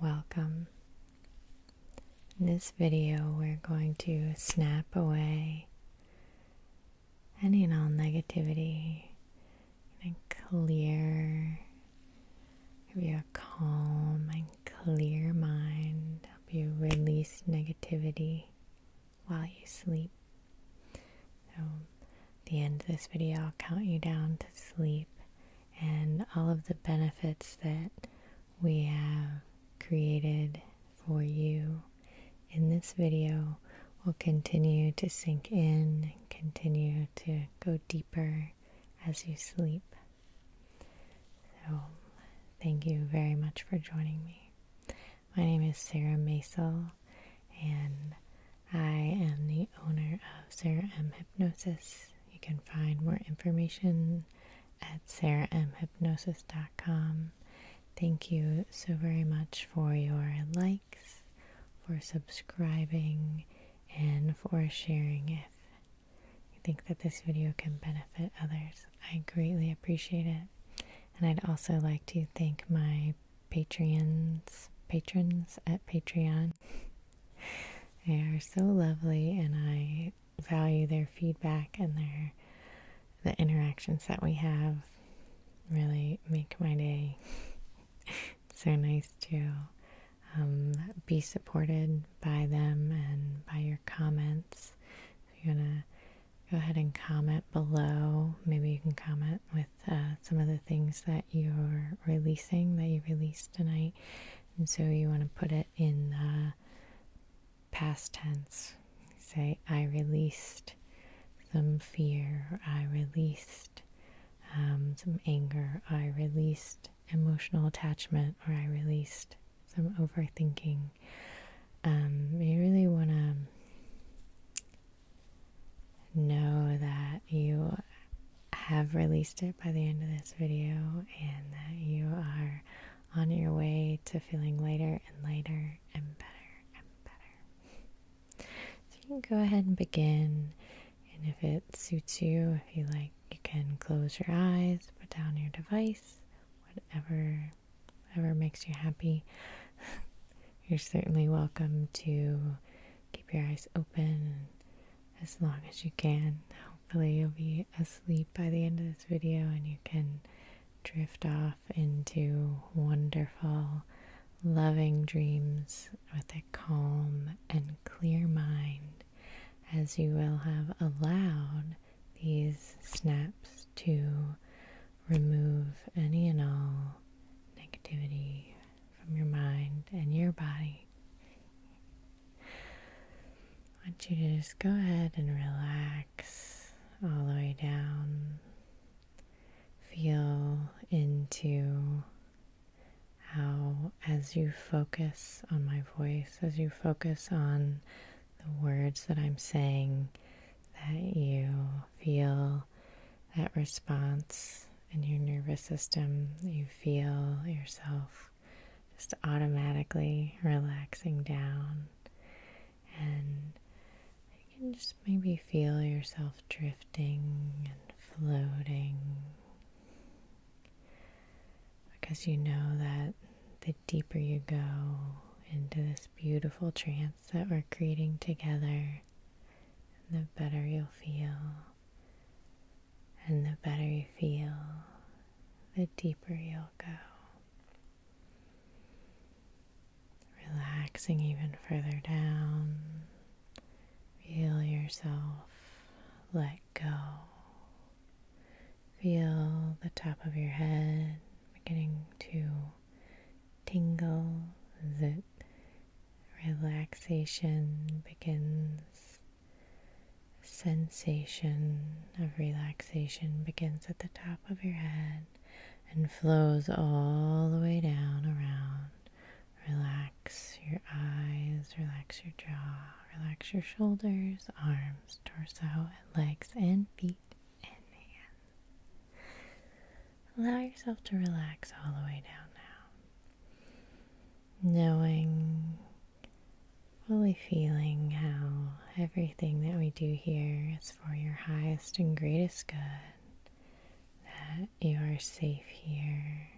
Welcome. In this video, we're going to snap away any and all negativity and clear, your calm and clear mind, help you release negativity while you sleep. So, the end of this video, I'll count you down to sleep and all of the benefits that we have created for you in this video will continue to sink in, continue to go deeper as you sleep. So, thank you very much for joining me. My name is Sarah Masel, and I am the owner of Sarah M. Hypnosis. You can find more information at sarahmhypnosis.com. Thank you so very much for your likes, for subscribing, and for sharing if you think that this video can benefit others. I greatly appreciate it. And I'd also like to thank my Patreons, patrons at Patreon. they are so lovely, and I value their feedback and their the interactions that we have. Really make my day. so nice to um, be supported by them and by your comments. you're gonna go ahead and comment below. Maybe you can comment with uh, some of the things that you're releasing that you released tonight. And so you want to put it in uh, past tense. Say, I released some fear, I released um, some anger, I released emotional attachment, or I released some overthinking. Um, you really want to know that you have released it by the end of this video and that you are on your way to feeling lighter and lighter and better and better. So you can go ahead and begin, and if it suits you, if you like, you can close your eyes, put down your device, whatever whatever makes you happy. you're certainly welcome to keep your eyes open as long as you can. Hopefully, you'll be asleep by the end of this video and you can drift off into wonderful, loving dreams with a calm and clear mind as you will have allowed these snaps to remove any and all negativity from your mind and your body. I want you to just go ahead and relax all the way down. Feel into how, as you focus on my voice, as you focus on the words that I'm saying, that you feel that response in your nervous system. You feel yourself just automatically relaxing down, and you can just maybe feel yourself drifting and floating because you know that the deeper you go into this beautiful trance that we're creating together, the better you'll feel, and the better you feel, the deeper you'll go. Relaxing even further down. Feel yourself let go. Feel the top of your head beginning to tingle that relaxation begins, sensation of relaxation begins at the top of your head and flows all the way down around. Relax your eyes, relax your jaw, relax your shoulders, arms, torso, legs and feet. Allow yourself to relax all the way down now. Knowing, fully feeling how everything that we do here is for your highest and greatest good. That you are safe here.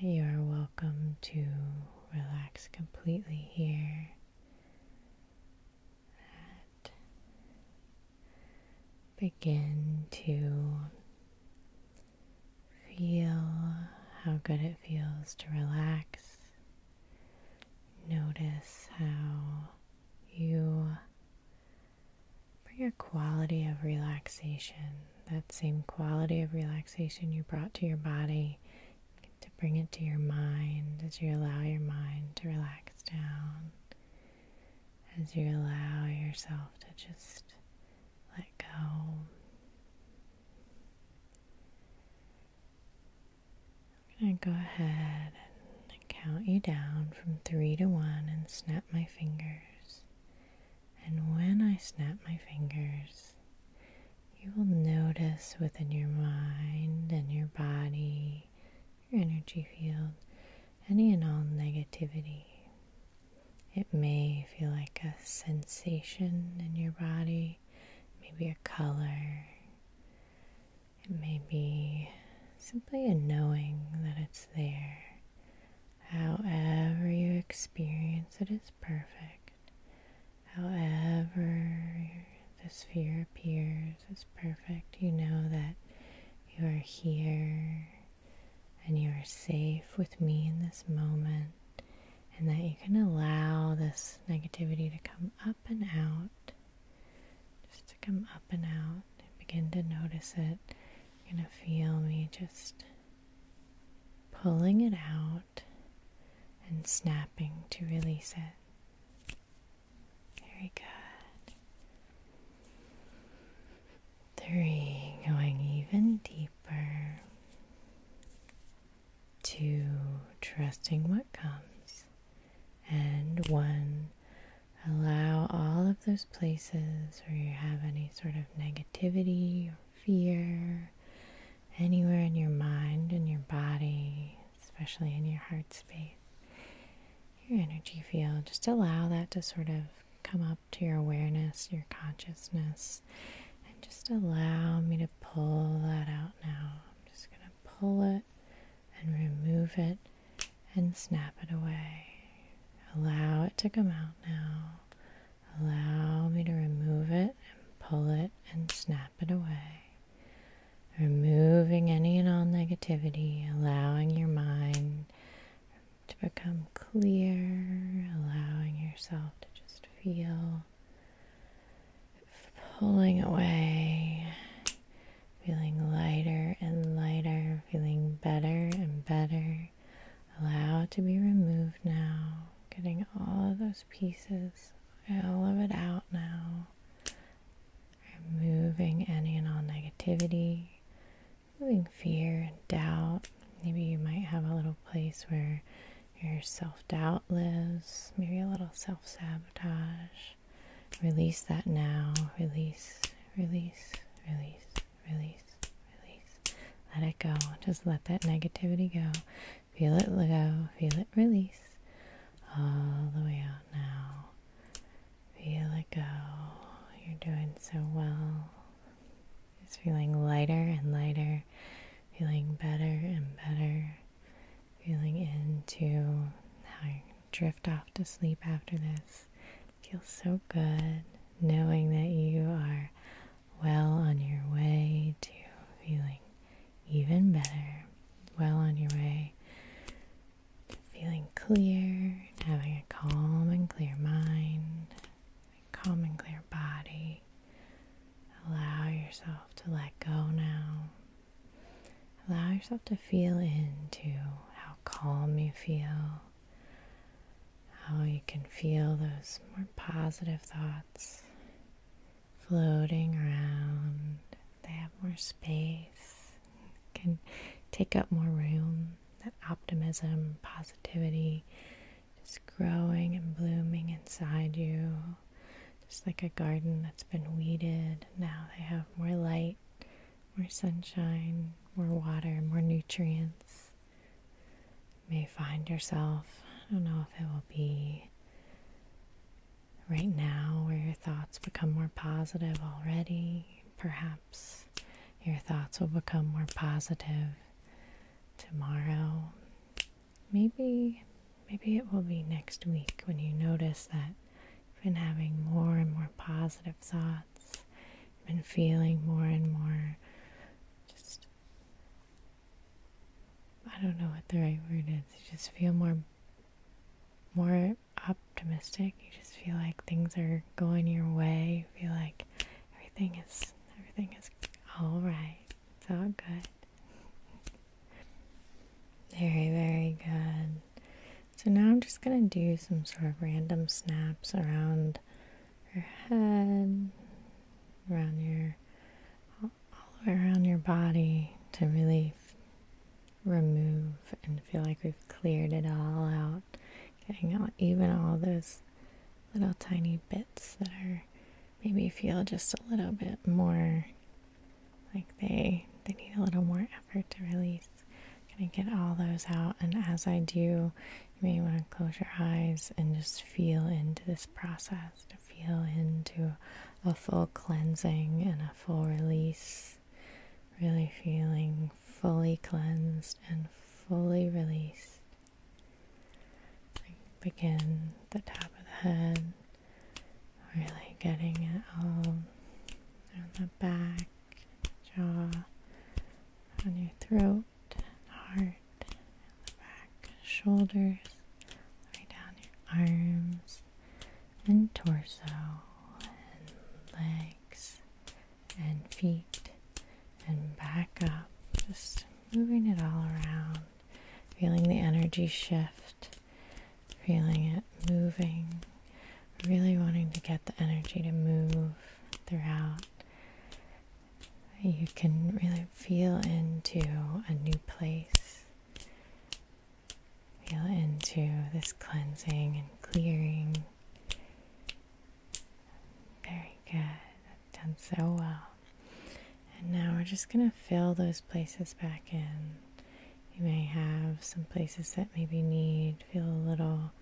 That you are welcome to relax completely here begin to feel how good it feels to relax. Notice how you bring a quality of relaxation, that same quality of relaxation you brought to your body, to bring it to your mind as you allow your mind to relax down as you allow yourself to just let go. I'm going to go ahead and count you down from three to one and snap my fingers. And when I snap my fingers, you will notice within your mind and your body your energy field, any and all negativity. It may feel like a sensation in your body, maybe a color. It may be simply a knowing that it's there. However, you experience it is perfect. However, this sphere appears as perfect, you know that you are here and you are safe with me in this moment, and that you can allow this negativity to come up and out, just to come up and out, begin to notice it. You're going to feel me just pulling it out and snapping to release it. Very good. Three, going even deeper. Two, trusting what comes. And one, allow all of those places where you have any sort of negativity or fear, anywhere in your mind and your body especially in your heart space, your energy field. Just allow that to sort of come up to your awareness, your consciousness, and just allow me to pull that out now. I'm just going to pull it and remove it and snap it away. Allow it to come out now. Allow me to remove it and pull it and snap it away. Removing any and all negativity, allowing your mind to become clear, allowing yourself to just feel, pulling away, feeling lighter and lighter, feeling better and better. Allow to be removed now, getting all of those pieces, all of it out now removing any and all negativity, removing fear and doubt. Maybe you might have a little place where your self doubt lives, maybe a little self sabotage. Release that now. Release, release, release, release, release. Let it go. Just let that negativity go. Feel it go. Feel it release all the way out now. Feel it go. You're doing so well. Just feeling lighter and lighter, feeling better and better, feeling into how you drift off to sleep after this. Feels so good knowing that you are well on your way to feeling even better. Well on your way feeling clear, having a calm and clear mind, a calm and clear body. Allow yourself to let go now. Allow yourself to feel into how calm you feel, how you can feel those more positive thoughts floating around. They have more space, can take up more room. That optimism, positivity, just growing and blooming inside you. Just like a garden that's been weeded, now they have more light, more sunshine, more water, more nutrients. You may find yourself, I don't know if it will be right now where your thoughts become more positive already. Perhaps your thoughts will become more positive tomorrow. Maybe maybe it will be next week when you notice that you've been having more and more positive thoughts, you've been feeling more and more just I don't know what the right word is. You just feel more more optimistic. You just feel like things are going your way. You feel like everything is everything is all right. It's all good. Very, very good. So now I'm just going to do some sort of random snaps around her head, around your all the way around your body to really remove and feel like we've cleared it all out. Getting out even all those little tiny bits that are maybe feel just a little bit more like they they need a little more effort to release. i gonna get all those out and as I do you may want to close your eyes and just feel into this process feel into a full cleansing and a full release. Really feeling fully cleansed and fully released. Begin the top of the head, really getting it all on the back, jaw, on your throat, heart, back, shoulders, right down your arms and torso and legs and feet and back up. Just moving it all around, feeling the energy shift, feeling it moving, really wanting to get the energy to move throughout. You can really feel into a new place Feel into this cleansing and clearing. Very good. done so well. And now we're just going to fill those places back in. You may have some places that maybe need, feel a little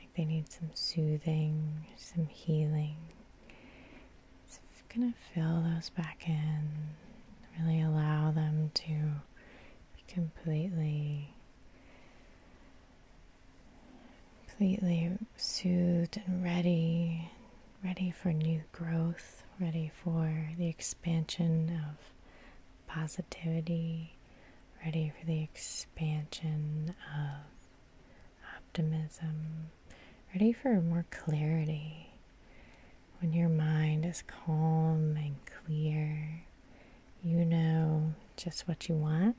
like they need some soothing, some healing. It's going to fill those back in, really allow them to be completely, completely soothed and ready, ready for new growth, ready for the expansion of positivity, ready for the expansion of optimism, ready for more clarity. When your mind is calm and clear, you know just what you want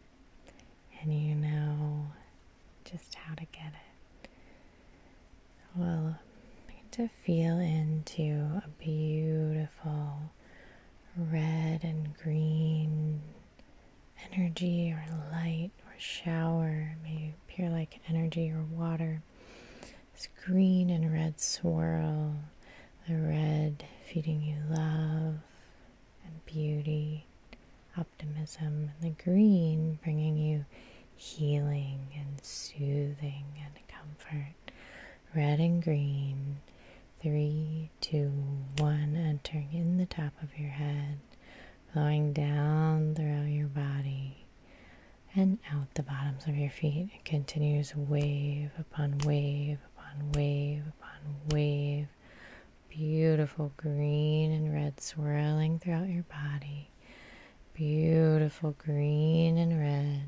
and you know just how to get it. Well, to feel into a beautiful red and green energy or light or shower, maybe pure like energy or water. This green and red swirl, the red feeding you love and beauty, optimism, and the green bringing you healing and soothing and comfort. Red and green, three, two, one, entering in the top of your head flowing down through your body and out the bottoms of your feet. It continues wave upon wave upon wave upon wave. Beautiful green and red swirling throughout your body. Beautiful green and red,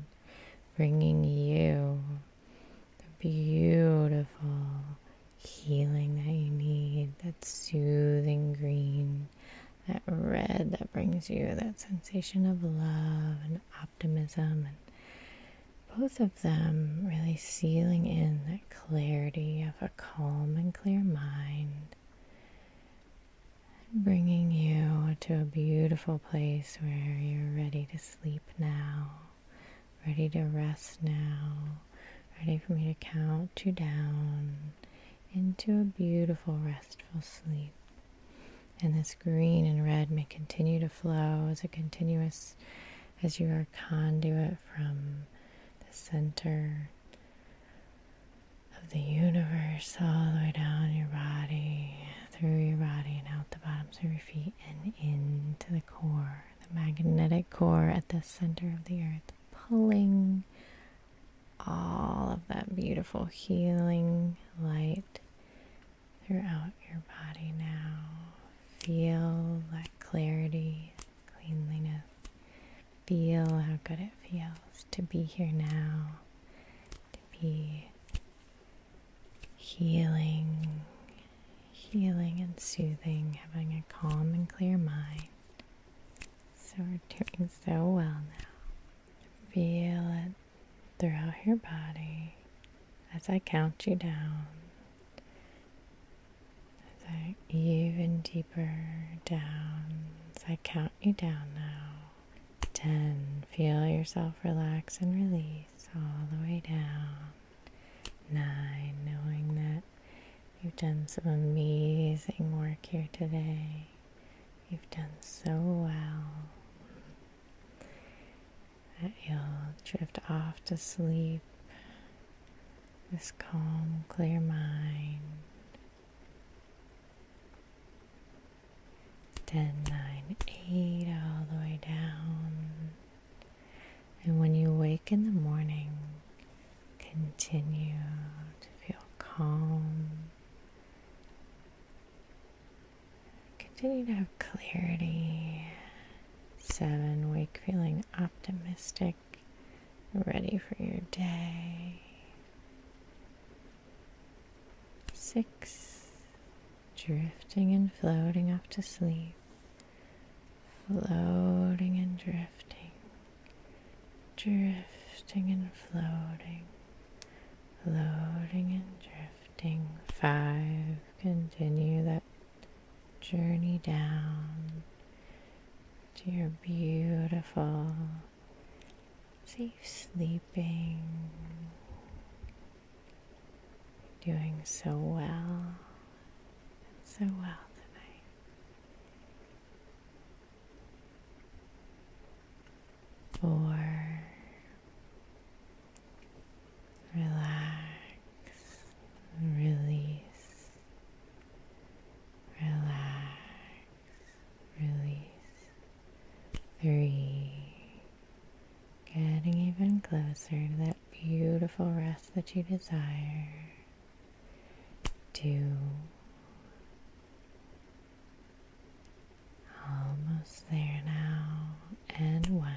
bringing you the beautiful healing that you need, that soothing green that red that brings you that sensation of love and optimism and both of them really sealing in that clarity of a calm and clear mind and bringing you to a beautiful place where you're ready to sleep now ready to rest now ready for me to count you down into a beautiful, restful sleep. And this green and red may continue to flow as a continuous, as you are conduit from the center of the universe all the way down your body, through your body, and out the bottoms of your feet, and into the core, the magnetic core at the center of the earth pulling all of that beautiful healing light throughout your body now. Feel that clarity, cleanliness. Feel how good it feels to be here now, to be healing, healing and soothing, having a calm and clear mind. So we're doing so well now. Feel it throughout your body as I count you down. As I even deeper down, as I count you down now. 10. Feel yourself relax and release all the way down. 9. Knowing that You've done some amazing work here today. You've done so well that you'll drift off to sleep. with calm, clear mind. 10, 9, 8, all the way down. And when you wake in the morning, continue to feel calm. Continue to have clarity. Seven, wake feeling optimistic, ready for your day. Six, drifting and floating off to sleep floating and drifting, drifting and floating, floating and drifting. Five, continue that journey down to your beautiful, safe sleeping. Doing so well so well tonight. Four. Relax, release, relax, release. Three. Getting even closer to that beautiful rest that you desire to almost there now and one.